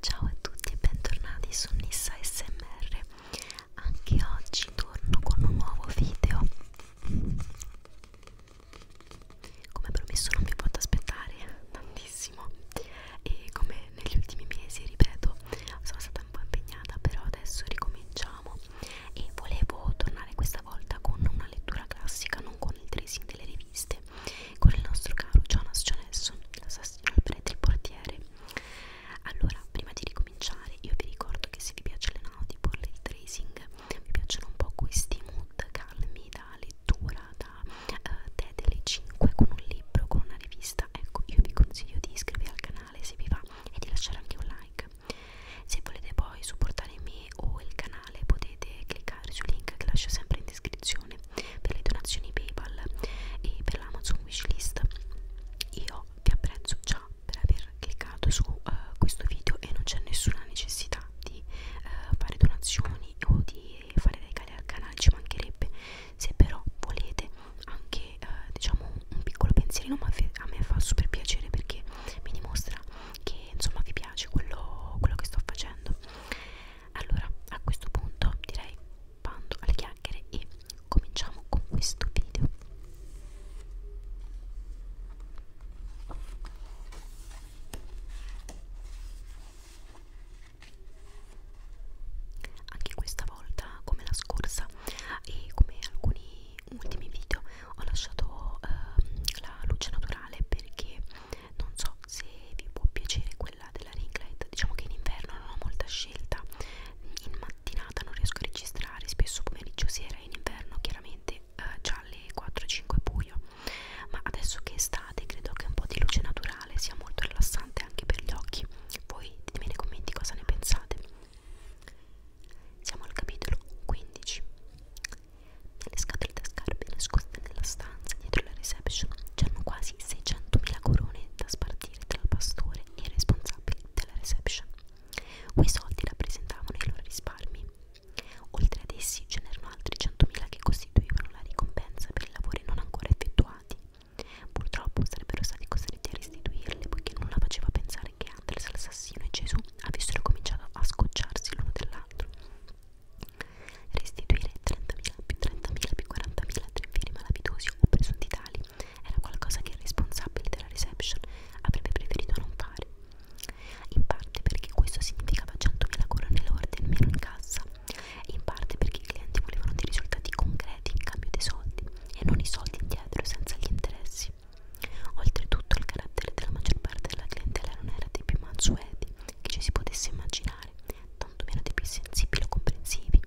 Ciao a tutti e bentornati su Nissa SMR. Anche oggi torno con un nuovo video. Come promesso non vi potete aspettare tantissimo e come negli ultimi mesi, ripeto, sono stata un po' impegnata, però adesso ricominciamo e volevo tornare questa volta con una lettura classica, non con il tracing delle riviste con il nostro caro Jonas Jonesson, l'assassino al prete il portiere. Allora, prima di ricominciare, io vi ricordo che se vi piace le noti, per il tracing, vi piacciono un po' questi mood calmi da lettura, da uh, te delle 5 con un libro, con una rivista, ecco, io vi consiglio di iscrivervi al canale se vi va e di lasciare anche un like. Se volete poi supportare me o il canale canale potete cliccare sul link che lascio sempre in descrizione per le donazioni PayPal e per l'Amazon Wishlist. Io vi apprezzo già per aver cliccato su uh, questo video e non c'è nessuna necessità di uh, fare donazioni o di fare regali al canale, ci mancherebbe. Se però volete anche uh, diciamo un piccolo pensierino, ma a me fa super piacere perché mi dimostra che insomma vi piace quello, quello che sto facendo allora a questo punto direi bando alle chiacchiere e cominciamo con questo video anche questa volta come la scorsa e come alcuni ultimi video ho lasciato eh, la luce naturale perché non so se vi può piacere quella della ringlet diciamo che in inverno non ho molta scelta in mattinata non riesco a registrare spesso pomeriggio sera in inverno chiaramente eh, già alle 4-5 buio ma adesso che è estate credo che un po' di luce naturale sia molto rilassante anche per gli occhi voi ditemi nei commenti cosa ne pensate siamo al capitolo 15 le scatole da scarpe nascoste nella stanza dietro la reception c'erano quasi 600.000 corone da spartire tra il pastore e i responsabili della reception. Quei soldi rappresentavano i loro risparmi. Oltre ad essi ce n'erano altri 100.000 che costituivano la ricompensa per i lavori non ancora effettuati. Purtroppo sarebbero stati costretti a restituirle poiché nulla faceva pensare che Anders, l'assassino e Gesù avessero cominciato a scocciarsi l'uno dell'altro. Restituire 30.000 più 30.000 più 40.000 a tre firme malavitosi o presunti tali era qualcosa che i responsabili della reception avrebbe preferito non fare. In parte perché questo significava 100.000 corone lorde in meno in cassa, e in parte perché i clienti volevano dei risultati concreti in cambio dei soldi e non i soldi indietro senza gli interessi. Oltretutto il carattere della maggior parte della clientela non era dei più mansueti che ci si potesse immaginare, tantomeno dei più sensibili o comprensivi.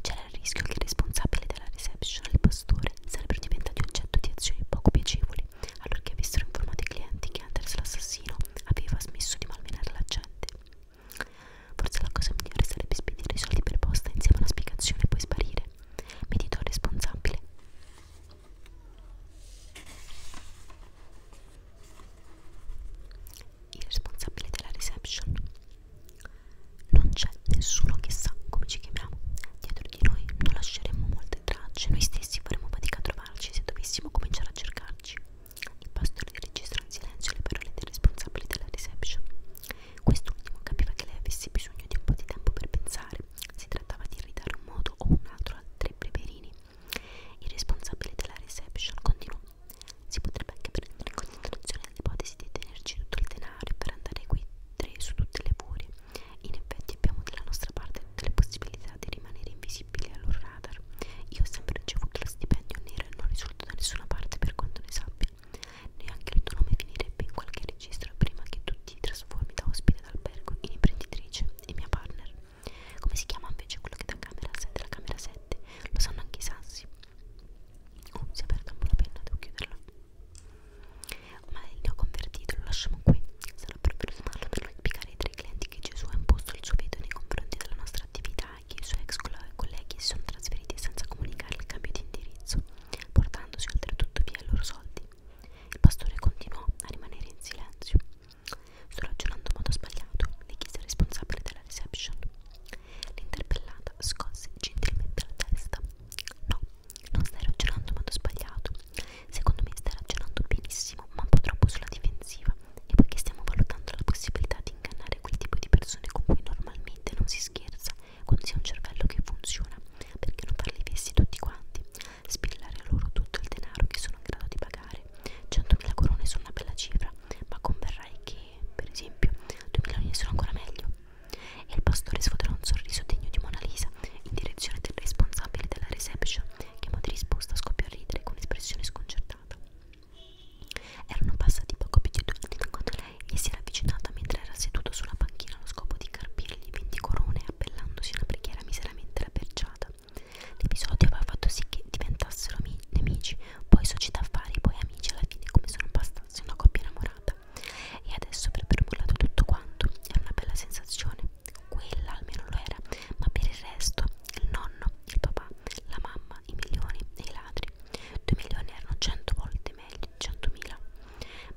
C'era il rischio che i responsabili della reception e il pastore sarebbero diventati oggetto di azioni poco piacevoli allorché avessero informato i clienti che Anders l'assassino aveva smesso di malmenare la gente. Forse la cosa migliore sarebbe spedire i soldi per posta insieme a una spiegazione e poi sparire responsabile. Mi dito responsabile. Il responsabile della reception. Non c'è nessuno che sa come ci chiamiamo. Dietro di noi non lasceremo molte tracce. Noi stessi faremo fatica a trovarci se dovessimo cominciare a cercarci. Il pastore registra in silenzio le parole del responsabile della reception. Quest'ultimo capiva che lei avesse bisogno di un po' di tempo per pensare. Si trattava di ridare un modo o un altro a tre preverini. Il responsabile della reception continuò. Si potrebbe anche prendere in considerazione l'ipotesi di tenerci tutto il denaro per andare qui tre su tutte le furie. In effetti abbiamo dalla nostra parte tutte le possibilità di rimanere invisibili al loro radar. Io ho sempre ricevuto lo stipendio nero e non risulto da nessuna parte per quanto ne sappia. Neanche il tuo nome finirebbe in qualche registro prima che tu ti trasformi da ospite d'albergo in imprenditrice e mia partner. Come si chiama invece quello che da camera 7 alla camera 7? Lo sanno anche i sassi. Oh, si è aperta un po' la penna, devo chiuderla. Ma ne ho convertito, lo lasciamo qui. Sarà proprio smarlo per spiegare ai tre clienti che Gesù ha imposto il suo veto nei confronti della nostra attività Draghi e i suoi ex colleghi si sono trasferiti senza comunicare il cambio di indirizzo, portandosi oltretutto via i loro soldi. Il pastore continuò a rimanere in silenzio. Sto ragionando in modo sbagliato, le chiese il responsabile della reception. L'interpellata scosse gentilmente la testa. No, non stai ragionando in modo sbagliato. Secondo me stai ragionando benissimo, ma un po' troppo sulla difensiva. E poiché stiamo valutando la possibilità ad ingannare quel tipo di persone con cui normalmente non si scherza quando si ha un cervello che funziona, perché non farli vesti tutti quanti, spillare a loro tutto il denaro che sono in grado di pagare. 100.000 corone sono una bella cifra, ma converrai che, per esempio, 2 milioni sono ancora meglio. E il pastore sfoderò un sorriso degno di Mona Lisa in direzione del responsabile della reception, che in modo di risposta scoppiò a ridere con espressione sconcertata. Erano passati poco più di due minuti quando lei gli si era avvicinata mentre era seduto sulla panchina allo scopo di carpirgli 20 corone appellandosi a una preghiera miseramente rabberciata. L'episodio aveva fatto sì che diventassero nemici, poi società affari, poi amici, alla fine come se non bastasse una coppia innamorata. E adesso per permullato tutto quanto era una bella sensazione, quella almeno lo era, ma per il resto il nonno, il papà papà, la mamma, i milioni e i ladri. Due milioni erano cento volte meglio, centomila.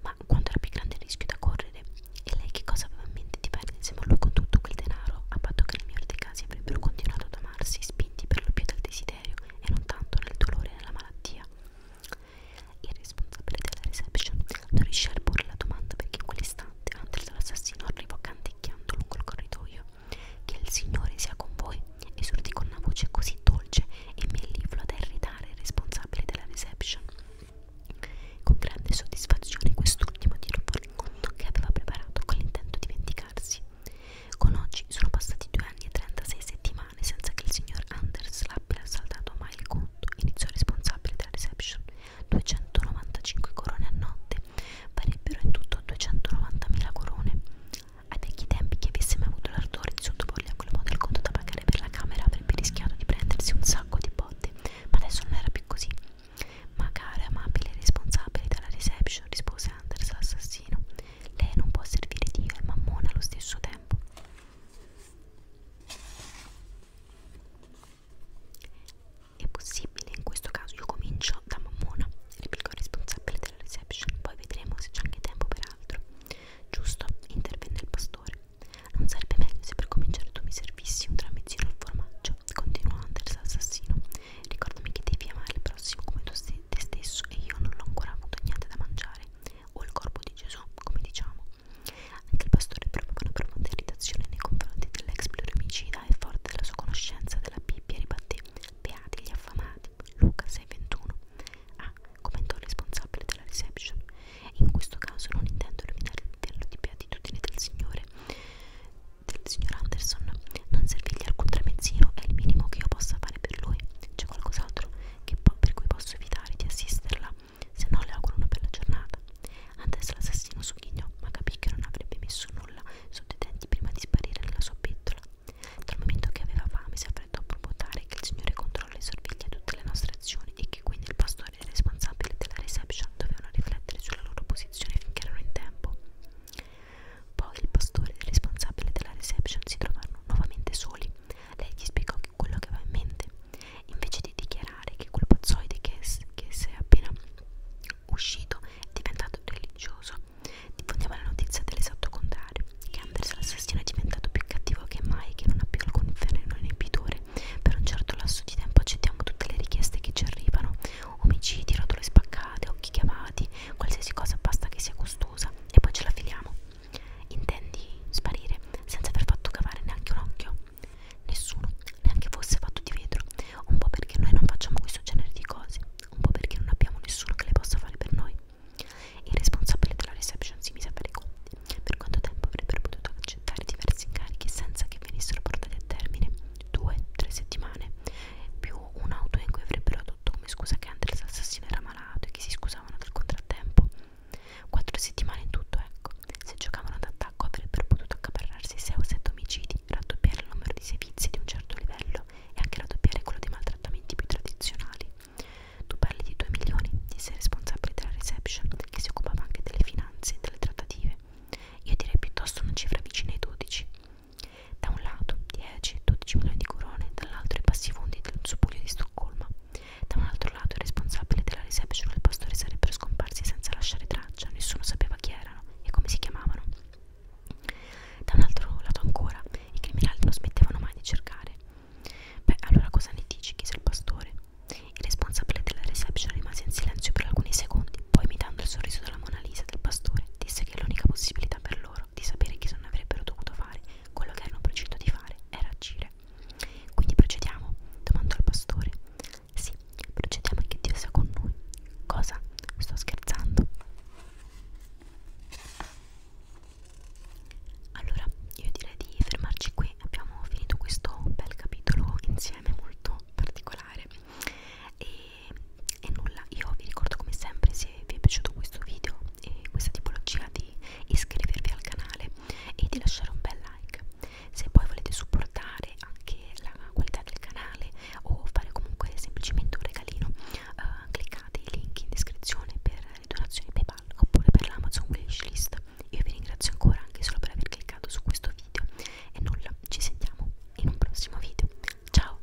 Ma quanto era più grande il rischio da correre? E lei che cosa aveva in mente di perdere insieme a lui con tutto quel denaro, a patto che nel migliore dei casi avrebbero continuato ad amarsi, spinti per lo più dal desiderio e non tanto nel dolore e nella malattia? Il responsabile della reception non riuscì a porre la domanda perché in quell'istante Hunter l'assassino arrivò canticchiando lungo il corridoio che il Signore sia con voi, esortì con una voce così dolce e melliflua da irritare il responsabile della reception. Con grande soddisfazione quest'ultimo tirò fuori il conto che aveva preparato con l'intento di vendicarsi. Con oggi sono passati due anni e 36 settimane senza che il signor Anders l'abbia saldato mai il conto, iniziò il responsabile della reception. 295 corone a notte farebbero in tutto 290.000 corone. Ai vecchi tempi chi avesse mai avuto l'ardore di sottoporgli a quel modo il conto da pagare per la camera avrebbe rischiato di prendersi un sacco di botte, ma adesso non era più così. Ma cara, amabile e responsabile della reception, rispose Anders l'assassino, lei non può servire Dio e mammona allo stesso tempo. È possibile, in questo caso io comincio da mammona, replicò il responsabile della reception, poi vedremo se c'è anche tempo per altro. Giusto, intervenne il pastore. Non sarebbe meglio se per cominciare tu mi servissi un tramezzino al formaggio, continuò Anders assassino. Ricordami che devi amare il prossimo come tu st te stesso e io non l'ho ancora avuto niente da mangiare. O il corpo di Gesù, come diciamo. Anche il pastore provava una profonda irritazione nei confronti dell'ex pluromicida e forte della sua conoscenza della Bibbia ribatté Beati gli affamati, Luca 6,21. Ah, commentò il responsabile della reception. In questo caso non intendo rovinare il titolo di beatitudine del Signore, del signor Anderson. Non servirgli alcun tramezzino è il minimo che io possa fare per lui. C'è qualcos'altro per cui posso evitare di assisterla se no le auguro una bella giornata. Antes l'assassino sogghignò, ma capì che non avrebbe messo nulla sotto i denti prima di sparire nella sua pettola. Dal momento che aveva fame si affrettò a propotare che il signore controlla e sorveglia tutte le nostre azioni e che quindi il pastore e il responsabile della reception dovevano riflettere sulla loro posizione finché erano in tempo. Poi il pastore e il responsabile della reception si trovarono nuovamente soli. Lei gli spiegò che quello che aveva in mente invece di dichiarare che quel pozzoide che, che si è appena uscito è diventato religioso, diffondiamo la notizia dell'esatto contrario, che Anders l'assassino è diventato più cattivo che mai e che non ha più alcun freno inibitore. Per un certo lasso di tempo accettiamo tutte le richieste che ci arrivano, omicidi, rotole spaccate, occhi chiavati, qualsiasi cosa basta che sia costosa e poi ce la filiamo. Intendi sparire senza aver fatto cavare neanche un occhio? Nessuno, neanche fosse fatto di vetro, un po' perché noi non facciamo questo genere di cose, un po' perché non abbiamo nessuno che le possa fare per noi. Il responsabile della reception si mise a fare i conti, per quanto tempo avrebbero potuto accettare diversi incarichi senza che venissero portati a termine, due, tre settimane, più un'auto in cui avrebbero adotto come scusa che Andres l'assassino era malato e che si scusavano del contrattempo. Quattro settimane in tutto, ecco. Se giocavano d'attacco avrebbero potuto accaparrarsi 6 o 7 omicidi, raddoppiare il numero di servizi di un certo livello e anche raddoppiare quello dei maltrattamenti più tradizionali. Tu parli di 2 milioni, di sei responsabile della reception, che si occupava anche delle finanze e delle trattative. Io direi piuttosto una cifra vicina ai 12. Da un lato 10-12 milioni di corone, dall'altro i passi fondi del suo di Stoccolma. Da un altro lato i responsabili della reception e il pastore sarebbero scomparsi senza lasciare traccia, nessuno sapeva chi erano e come si chiamavano. Da un altro lato ancora, i criminali non smettevano mai di cercare. Beh, allora cosa ne dici? chiese il pastore. Il responsabile della reception rimase in silenzio per alcuni secondi, poi imitando il sorriso della Mona Lisa del pastore, disse che l'unica possibilità per loro di sapere chi non avrebbero dovuto fare quello che erano procinto di fare era agire. Quindi procediamo? domandò il pastore. Sì, procediamo e che Dio sia con noi. Cosa? Sto scherzando. Allora, io direi di fermarci qui. Abbiamo finito questo bel capitolo insieme, molto particolare. E, e nulla, io vi ricordo come sempre se vi è piaciuto questo video eh, questa tipologia di iscrivervi al canale e di lasciare un bel like. Se poi volete supportare anche la qualità del canale o fare comunque semplicemente un regalino, eh, cliccate i link in descrizione per le donazioni PayPal oppure per l'Amazon Wishlist. Io vi ringrazio ancora anche solo per aver cliccato su questo video e nulla, ci sentiamo in un prossimo video. Ciao!